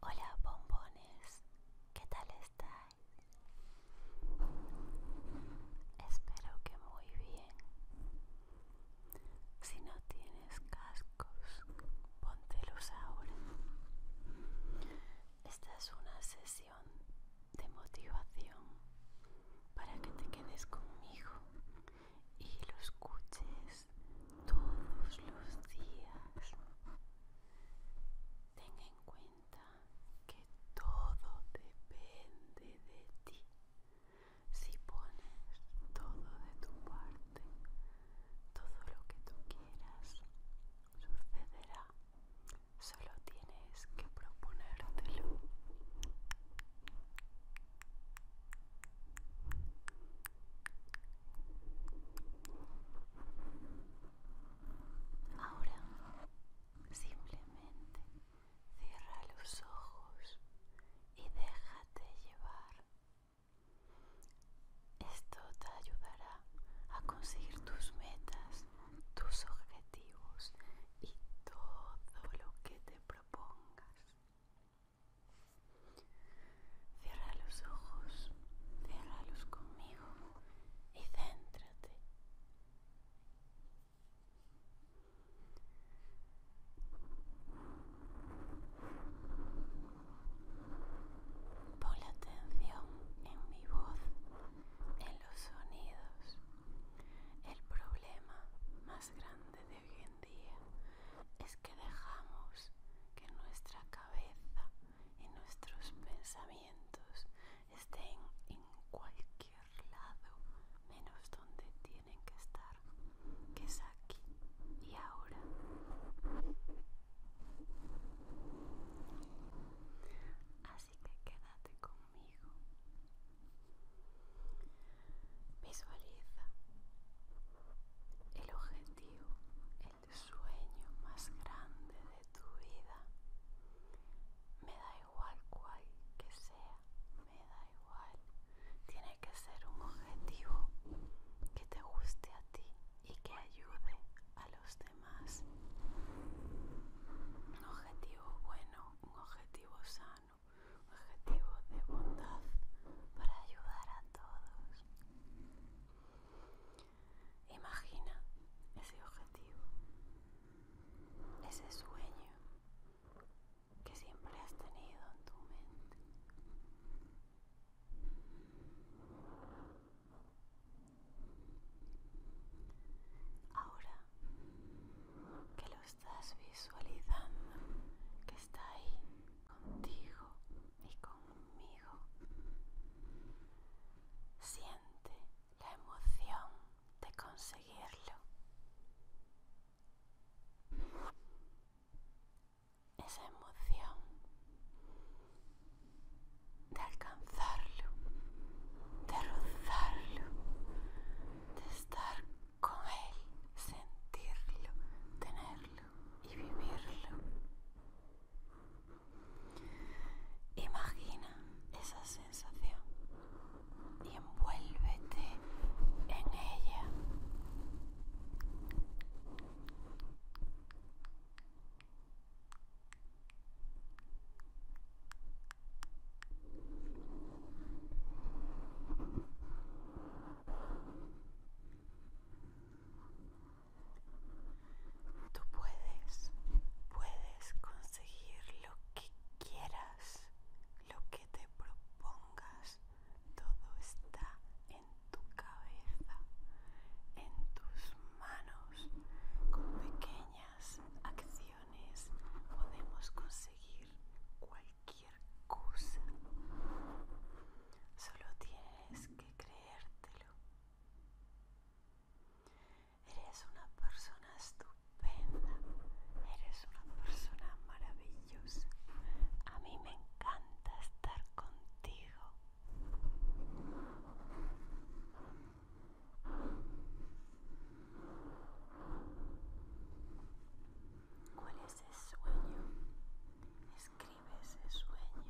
Hola bombones, ¿qué tal estáis? Espero que muy bien. Si no tienes cascos, póntelos ahora. Esta es una sesión de motivación para que te quedes conmigo y lo escuches todos los días. Ten en cuenta que todo depende de ti. Si pones todo de tu parte, todo lo que tú quieras sucederá. Solo tienes que proponértelo. Ahora simplemente cierra los ojos y déjate llevar. Esto te ayudará a conseguir tus metas, tus objetivos y todo lo que te propongas. Cierra los ojos, los conmigo y céntrate. Pon la atención en mi voz, en los sonidos. El problema más grande de hoy en día es que dejamos que nuestra cabeza y nuestros pensamientos estén en cualquier lado menos donde tienen que estar, que es aquí y ahora. Así que quédate conmigo Visualiza el objetivo, el sueño más grande de tu vida. Me da igual cuál que sea, me da igual. Tiene que ser un objetivo que te guste a ti y que ayude a los demás. Un objetivo bueno, un objetivo sano objetivo de bondad para ayudar a todos. Imagina ese objetivo, ese sueño que siempre has tenido en tu mente. Ahora que lo estás visualizando, que está ahí contigo y conmigo. Siente la emoción de conseguirlo. Esa emoción de alcanzarlo, de rozarlo, de estar con él, sentirlo, tenerlo y vivirlo. Imagina esa sensación y envuélvete en ella. Tú puedes, puedes conseguir lo que quieras, lo que te propongas. Todo está en tu cabeza, en tus manos, con pequeña acciones podemos conseguir cualquier cosa. Solo tienes que creértelo. Eres una persona estupenda. Eres una persona maravillosa. A mí me encanta estar contigo. ¿Cuál es ese sueño? Escribe ese sueño.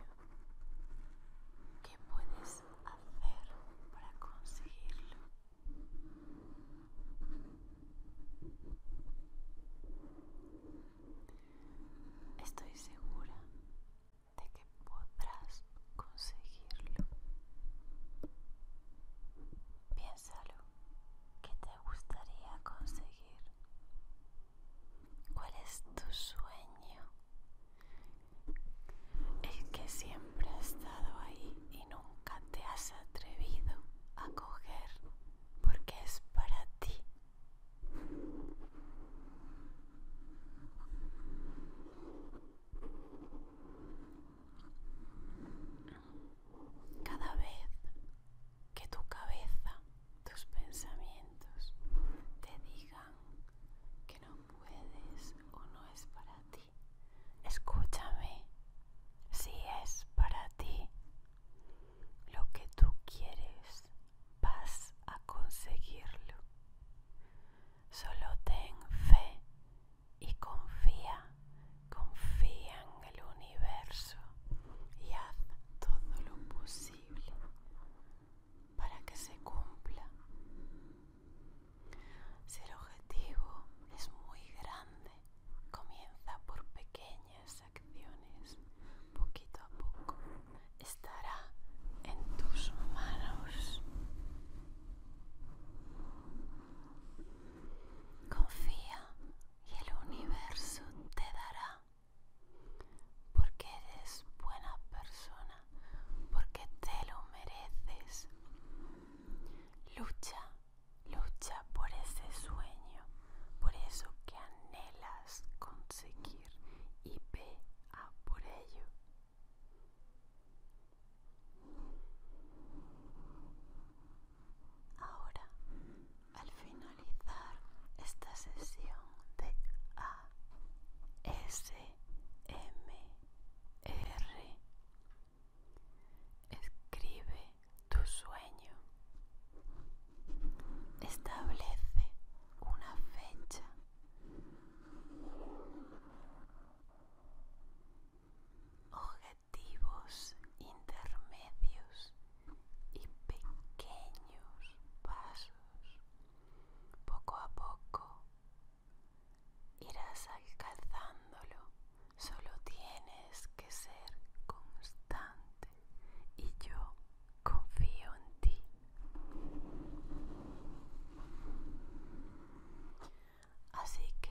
¿Qué puedes hacer para conseguirlo? Estoy segura de que podrás conseguirlo. Piénsalo. ¿Qué te gustaría conseguir? ¿Cuál es tu sueño? El que siempre ha estado ahí y nunca te has atrevido a coger porque es para ti. Cada vez que tu cabeza, tus pensamientos te digan que no puedes o no es para ti, escúchame, si es para ti lo que tú quieres, vas a conseguirlo. Solo ten fe y confía, confía en el universo y haz todo lo posible para que se cumpla. Si el objetivo es muy grande, comienza por pequeñas acciones, poquito a poco estará en tus manos. Confía y el universo te dará porque eres buena persona, porque te lo mereces. Lucha, lucha por ese sueño, por eso que anhelas conseguir y ve a por ello. Ahora, al finalizar esta sesión de ASMR, escribe tu sueño. Establece una fecha objetivos intermedios y pequeños pasos. Poco a poco irás alcanzándolo, solo tienes que ser constante y yo confío en ti. Así que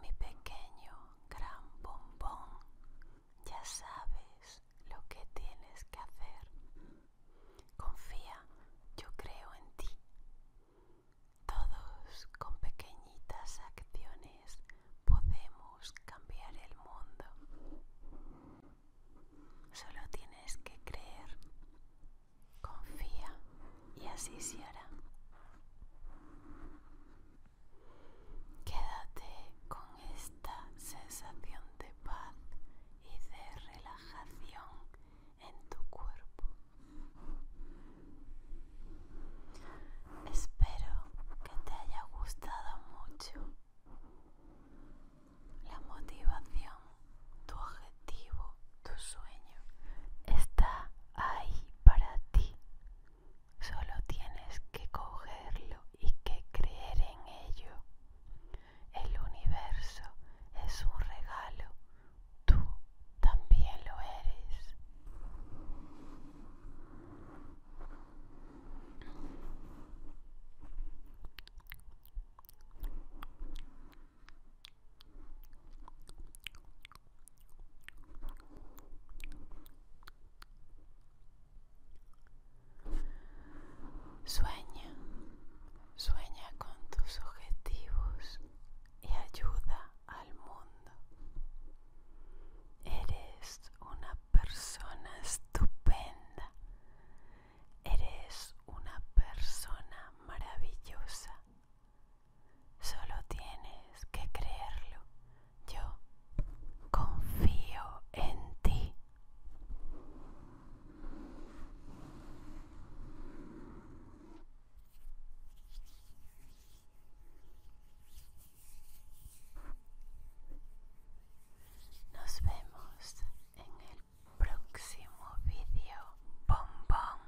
mi pequeño gran bombón, ya sabes lo que tienes que hacer. Confía, yo creo en ti. Todos con pequeñitas acciones podemos cambiar el mundo. Solo tienes que creer, confía y así se hará. Quédate con esta sensación de paz y de relajación en tu cuerpo. Espero que te haya gustado mucho la motivación, tu objetivo, tu sueño está ahí para ti. Solo tienes que cogerlo y que creer en ello. El universo es un regalo. Tú también lo eres. Sueña, sueña con tus objetivos y ayuda al mundo. Eres una persona estupenda. Eres una persona maravillosa. Solo tienes que creerlo. Yo confío en ti. Nos vemos en el próximo vídeo. Bombón.